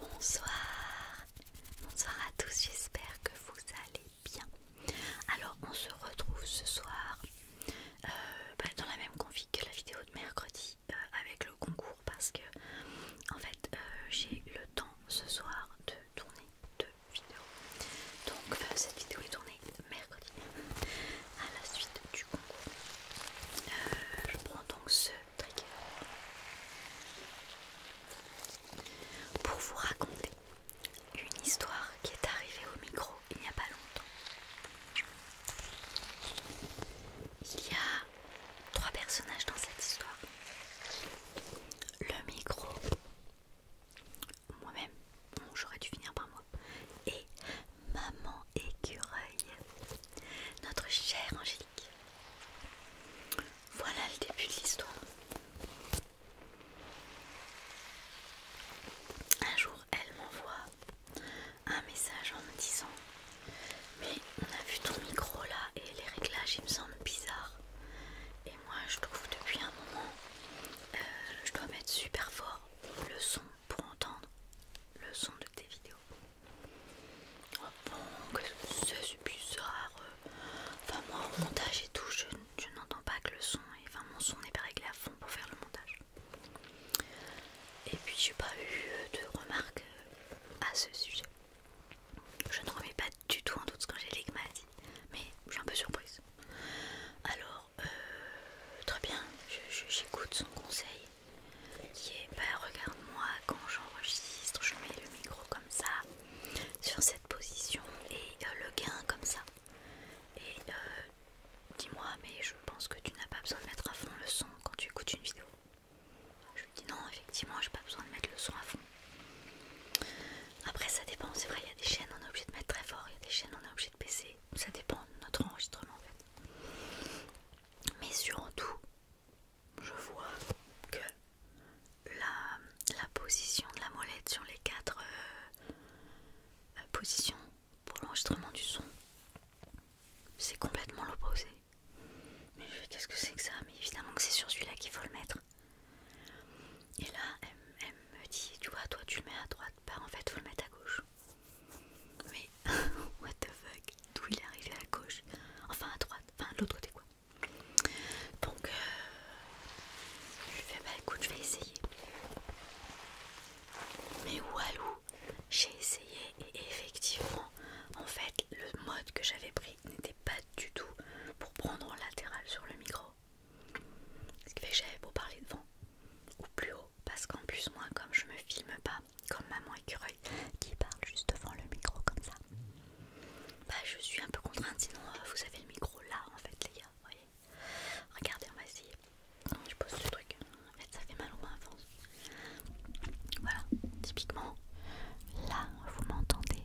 Bonsoir, bonsoir à tous, j'espère que vous allez bien. Alors on se retrouve ce soir euh, bah, dans la même config que la vidéo de mercredi euh, avec le concours parce que en fait euh, j'ai le temps ce soir de tourner de vidéo. Donc cette vidéo est tournée mercredi à la suite du concours. Euh, je prends donc ce trigger pour vous raconter une histoire qui est arrivée au micro il n'y a pas longtemps. Il y a trois personnages dans cette histoire le micro moi-même, j'aurais dû finir par moi, et maman écureuil, notre chère Angélique. Voilà le début de l'histoire. Un jour, elle m'envoie un message en me disant Mais on a vu ton micro là et les réglages, il me semblent bizarres moi je trouve depuis un moment euh, je dois mettre super fort le son pour entendre le son de tes vidéos. Oh bon, c'est bizarre. Euh, enfin moi au montage et tout, je, n'entends pas que le son, et enfin mon son n'est pas réglé à fond pour faire le montage. Et puis j'ai pas eu de remarques euh, à ce sujet. Je ne remets pas du tout en doute ce j'ai les maladies, mais je suis un peu surprise. Alors, euh, très bien, j'écoute son conseil qui est ben regarde-moi quand j'enregistre, je mets le micro comme ça, sur cette position et euh, le gain comme ça. Et euh, dis-moi, mais je pense que tu n'as pas besoin de mettre à fond le son quand tu écoutes une vidéo. Je lui dis non, effectivement, j'ai pas besoin de mettre le son à fond. Après, ça dépend, c'est vrai, il y a des chaînes, on est obligé de mettre très fort, il y a des chaînes, on est obligé de baisser. Ça dépend de notre enregistrement en fait. Mais surtout, je vois que la, position de la molette sur les quatre euh, euh, positions pour l'enregistrement du son, c'est complètement l'opposé. Mais qu'est-ce que c'est que ça Mais évidemment que c'est sur celui-là qu'il faut le mettre. Et là, elle, me dit, tu vois, toi tu le mets à droite, bah en fait, faut le mettre à gauche. Mais, what the fuck, d'où il est arrivé à gauche Enfin, à droite, enfin, de l'autre côté, quoi. Donc, euh, je lui fais, bah écoute, je vais essayer. Mais walou, j'ai essayé et effectivement, en fait, le mode que j'avais pris n'était pas du tout pour prendre en latéral sur le micro. Ce qui fait que j'avais beau parler devant ou plus haut, parce qu'en plus, moi, comme je me filme pas comme maman écureuil qui parle juste devant le micro comme ça, bah je suis un peu contrainte. Sinon, euh, vous avez le micro là en fait, les gars. Regardez, on va essayer. Non, je pose ce truc. En fait, ça fait mal au moins Voilà, typiquement, là vous m'entendez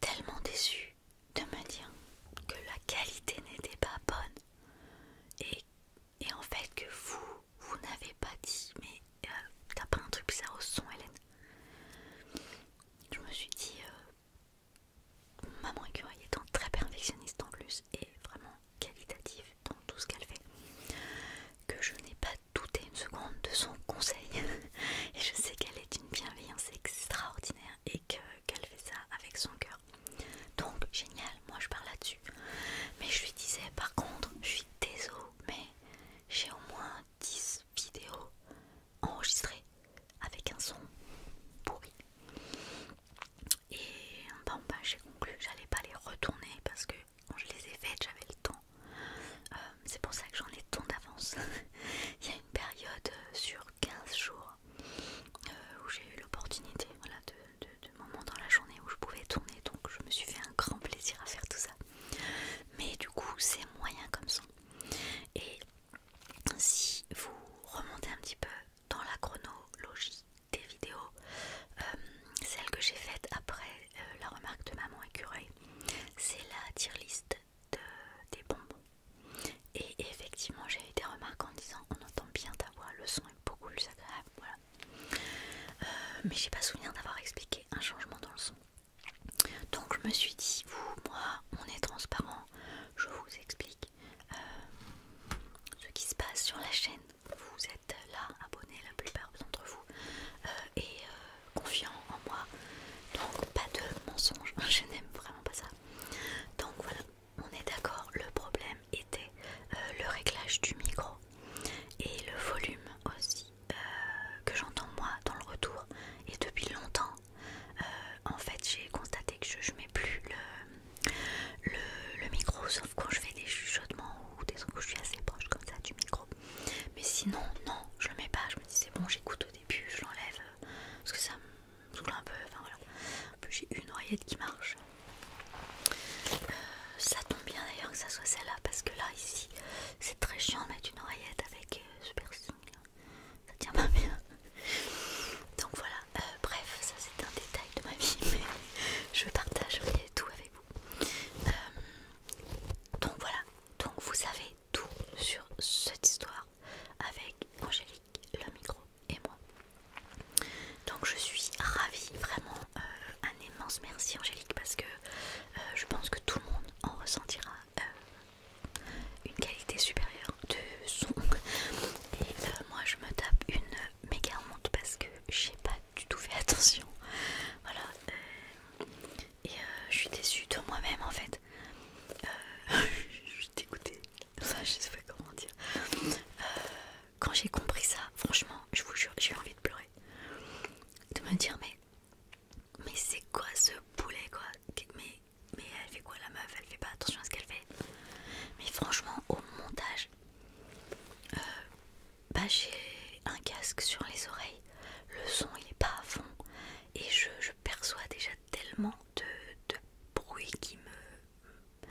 tellement déçue de me dire que la qualité n'était pas bonne et, en fait que vous, vous n'avez pas dit mais euh, t'as pas un truc bizarre au son Hélène. Je me suis dit euh, maman écureuil étant très perfectionniste en plus et vraiment qualitative dans tout ce qu'elle fait que je n'ai pas douté une seconde de son conseil et je sais qu'elle est d'une bienveillance extraordinaire et qu'elle fait ça avec son cœur. Donc génial, moi je parle là-dessus. Mais je lui disais par contre, je suis désolée, mais j'ai au moins 10 vidéos enregistrées avec un son pourri. Et en bas, j'ai conclu, j'allais pas les retourner parce que quand je les ai faites, j'avais le temps. Euh, c'est pour ça que j'en ai tant d'avance. Il y a une période euh, sur 15 jours euh, où j'ai eu l'opportunité voilà, de, moments dans la journée où je pouvais tourner donc je me suis fait un grand plaisir à faire tout ça mais du coup c'est moyen comme son et si vous remontez un petit peu dans la chronologie des vidéos euh, celle que j'ai faite après euh, la remarque de maman écureuil c'est la tier list des bonbons. Et effectivement, j'ai eu des remarques en disant on entend bien ta voix, le son est beaucoup plus agréable. Voilà. Euh, mais j'ai pas souvenir d'avoir expliqué un changement dans le son. Donc je me suis dit, vous, moi, on est transparent, je vous explique euh, ce qui se passe sur la chaîne. Vous êtes là, abonnés, la plupart d'entre vous, euh, et confiants en moi. Donc pas de mensonge je n'aime vraiment pas ça. Donc voilà, on est d'accord, le problème était euh, le réglage du micro et le volume aussi euh, que j'entends moi dans le retour. Et depuis longtemps, euh, en fait, j'ai constaté que je ne mets plus le, micro sauf quand je fais des chuchotements ou des trucs où je suis assez proche comme ça du micro. Mais sinon, non, je le mets pas. Je me dis c'est bon, j'écoute au début, je l'enlève parce que ça me un peu, enfin voilà. En plus j'ai une oreillette qui marche. Euh, ça tombe bien d'ailleurs que ça soit celle-là parce que là ici c'est très chiant de mettre une oreillette avec euh, super Ça tient pas bien. Donc voilà, euh, bref, ça c'est un détail de ma vie, mais je partage tout avec vous. donc voilà, donc vous savez tout sur cette histoire avec Angélique le micro et moi. Donc je suis ravie, vraiment euh, un immense merci Angélique parce que euh, je pense que tout le monde en ressentira euh, une qualité supérieure de son. Et moi je me tape une méga honte parce que j'ai pas du tout fait attention. Voilà. et je suis déçue de moi-même en fait. Euh, je je sais pas comment dire. Euh, quand j'ai compris ça, franchement, je vous jure, j'ai envie de pleurer. De me dire, mais, mais c'est quoi ce poulet quoi mais, mais elle fait quoi la meuf Elle fait pas attention à ce qu'elle fait. Mais franchement, au montage, euh, bah j'ai un casque sur les oreilles. Le son il est pas à fond et je perçoit déjà tellement de, bruit qui me,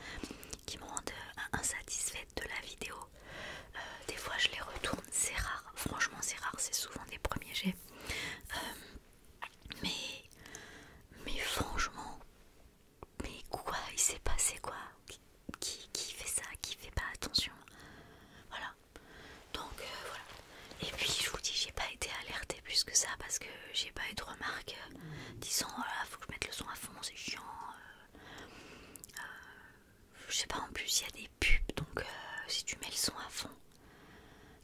qui me rendent euh, insatisfaite de la vidéo. Euh, des fois je les retourne, c'est rare, franchement c'est rare, c'est souvent des premiers jets. Euh, mais, mais franchement, mais quoi il s'est passé quoi qui, qui fait ça Qui fait pas attention Voilà. Donc voilà. Et puis je vous dis, j'ai pas été alertée plus que ça parce que j'ai pas eu de remarques euh, disant oh faut que je mette le son à fond, c'est chiant. Euh, euh, je sais pas, en plus il y a des pubs donc si tu mets le son à fond.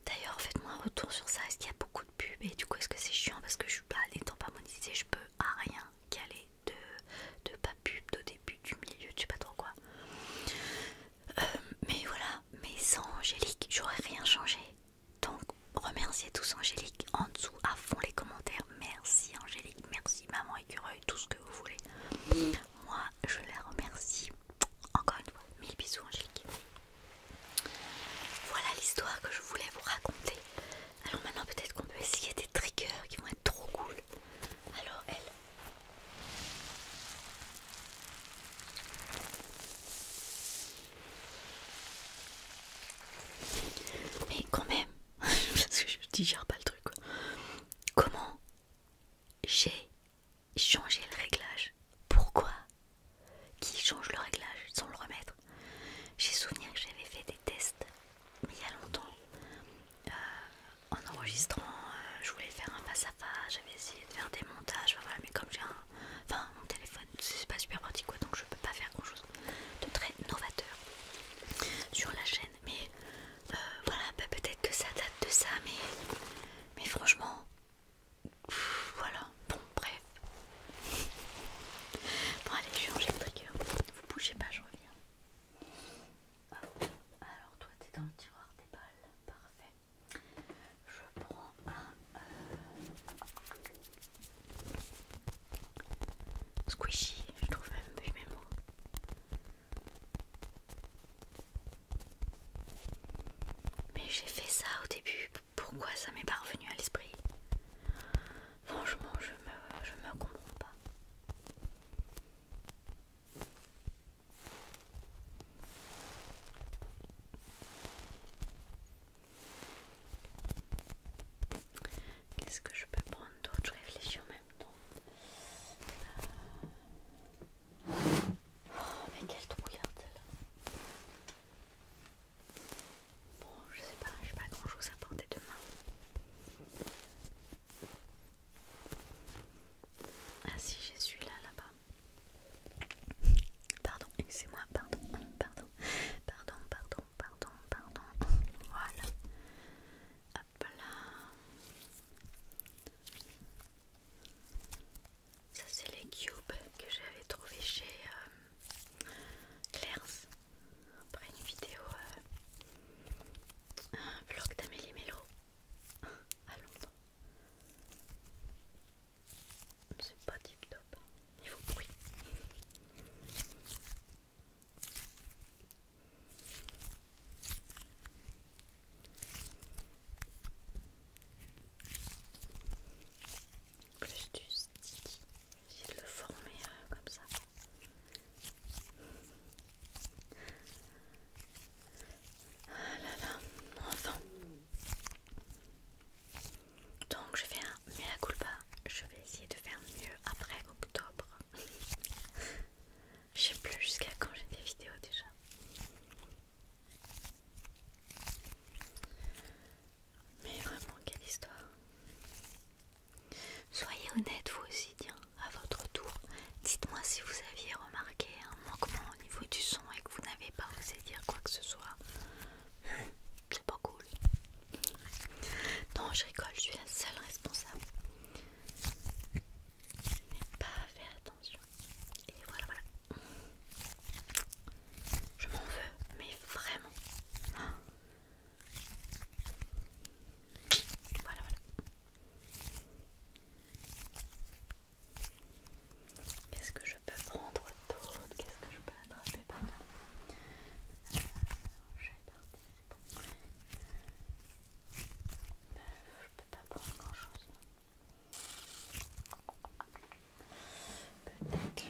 D'ailleurs, faites-moi un retour sur ça. Est-ce qu'il y a beaucoup de pubs et du coup, est-ce que c'est chiant parce que je suis bah, pas n'étant pas monétisée, je peux à rien caler de, pas pub, de début, du milieu, je sais pas trop quoi. mais voilà, mais sans Angélique, j'aurais rien changé. Donc remerciez tous Angélique en dessous à fond les commentaires. Merci Angélique, merci maman écureuil, tout ce que vous voulez. Moi je la remercie encore une fois. Mille bisous Angélique. Voilà l'histoire que je voulais vous raconter. Alors maintenant peut-être qu'on peut essayer des triggers qui vont être trop cool. Alors elle. Mais quand même, parce que je digère pas le truc. Comment j'ai changé le réglage Pourquoi Qui change le réglage sans le remettre J'ai souvenir que j'avais fait des tests, il y a longtemps. Euh, en enregistrant, euh, je voulais faire un face à face, j'avais essayé de faire des montages, mais comme j'ai un Enfin, mon téléphone, c'est pas super pratique quoi, donc je peux pas faire grand chose de très novateur sur la chaîne. Mais euh, voilà, bah, peut-être que ça date de ça, mais, mais franchement, voilà. Bon, bref. Bon, allez, je vais changer le trigger. Vous bougez pas, je reviens. Alors, toi, t'es dans le tiroir des balles, parfait. Je prends un euh, squishy, je trouve même plus mes mots. Mais j'ai fait ça au début, pourquoi ça m'est pas revenu à l'esprit Franchement, je me, je me comprends pas. Qu'est-ce que je peux prendre d'autre Je réfléchis en même temps. Euh, oh, mais quelle trouillarde hein, là Bon, je sais pas, je j'ai pas grand chose à porter demain. Ah si, j'ai celui-là là-bas. Pardon, excusez-moi, pardon, pardon, pardon, pardon, pardon, pardon. Voilà. Hop là. Ça c'est les cubes que j'avais trouvé chez euh, Claire. après une vidéo euh, un vlog d'Amélie Mello à Londres. C'est pas tip top niveau bruit. Plus du sticky, j'ai le former euh, comme ça. Ah là là, enfin, donc je vais un la culpa, je vais essayer de faire mieux après octobre. je sais plus jusqu'à quand j'ai des vidéos déjà. Mais vraiment quelle histoire. Soyez honnête vous aussi, tiens, à votre tour. Dites-moi si vous aviez remarqué un manquement au niveau du son et que vous n'avez pas osé dire quoi que ce soit. C'est pas cool. Non, je rigole, je suis la seule responsable. N'ai pas fait attention. Et voilà, voilà. Je m'en veux, mais vraiment. Voilà, voilà. Qu'est-ce que je peux prendre l'autre Qu'est-ce que je peux attraper par là euh, Je vais c'est bon. Euh, je peux pas prendre grand-chose. Peut-être le...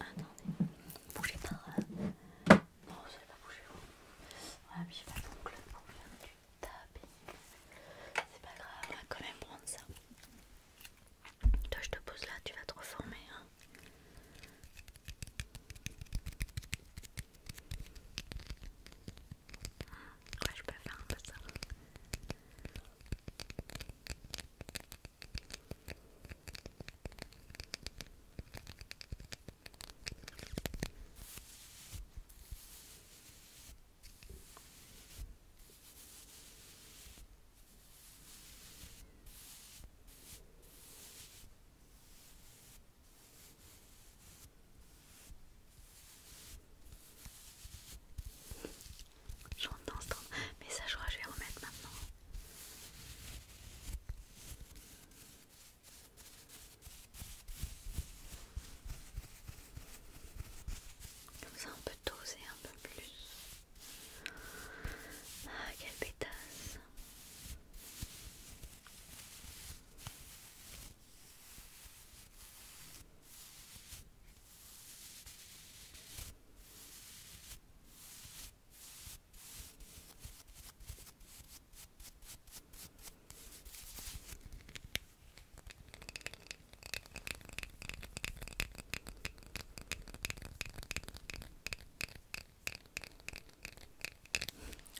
Attendez, bougez pas. Non, ça va pas bouger. Voilà, ah puis j'ai pas d'ongle pour faire du tapping. C'est pas grave, on va quand même prendre ça. Toi je te pose là, tu vas te reformer. Hein ouais, je peux faire un peu ça. J'entends ce mais ça je crois que je vais remettre maintenant. Comme ça on peut doser un peu plus. Ah, quelle pétasse!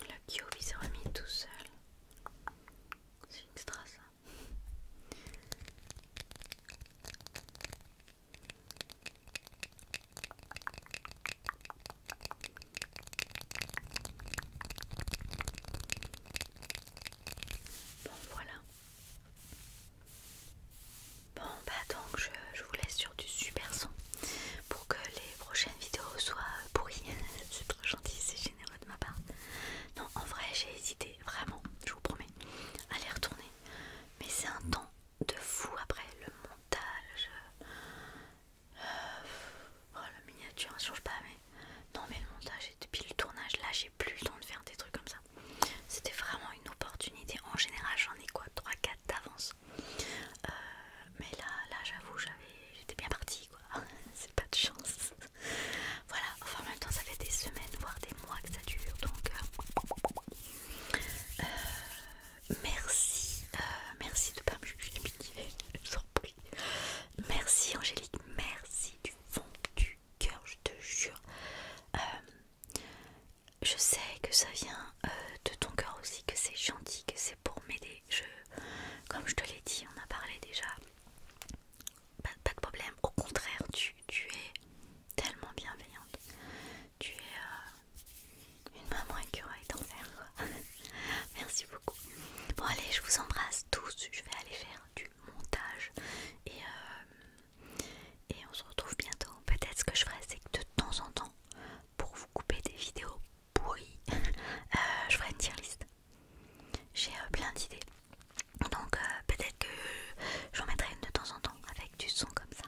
Le cube s'est remis tout seul. C'est une ça. Bon voilà. Bon bah donc je, vous laisse sur du super son pour que les prochaines vidéos soient pourries. c'est trop gentil, c'est généreux de ma part. Non en vrai j'ai hésité, vraiment, je vous promets, à les retourner. Mais c'est un temps de fou après le montage. Euh, oh la miniature ça change pas mais. Non mais le montage et depuis le tournage là j'ai plus le temps de faire des trucs comme ça. C'était vraiment une opportunité. En général, j'en ai quoi 3-4 d'avance. Euh, mais là, là j'avoue, j'étais bien partie quoi. C'est pas de chance. voilà, enfin en même temps, ça fait des semaines, voire des mois que ça dure. Donc, euh, euh, merci. merci de pas me surprise Merci Angélique, merci du fond du cœur, je te jure. Je sais que ça vient euh, de ton cœur aussi, que c'est gentil, que c'est pour m'aider. Je, comme je te l'ai dit, on a parlé déjà. Pas, de problème. Au contraire, tu, es tellement bienveillante. Tu es euh, une maman en d'enfer. Merci beaucoup. Bon allez, je vous embrasse tous. Je vais aller faire du montage et euh, et on se retrouve bientôt. Peut-être ce que je ferai, c'est que de temps en temps, pour vous couper des vidéos pourries, euh, je ferai une tier list. J'ai euh, plein d'idées. Donc euh, peut-être que j'en mettrai une de temps en temps avec du son comme ça.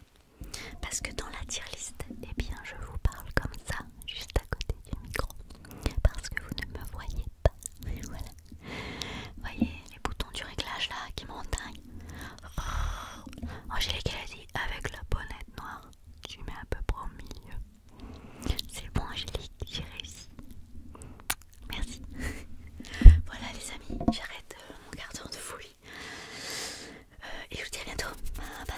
Parce que dans la tier list, eh bien je vous parle comme ça, juste à côté du micro. Parce que vous ne me voyez pas. Voilà. Voyez les boutons du réglage là qui m'entagnent. Angélique elle a dit avec la bonnette noire, tu mets à peu près au milieu. C'est bon Angélique, j'ai réussi. Merci. voilà les amis, j'arrête euh, mon quart de fouille. Euh, et je vous dis à bientôt. Bye bye.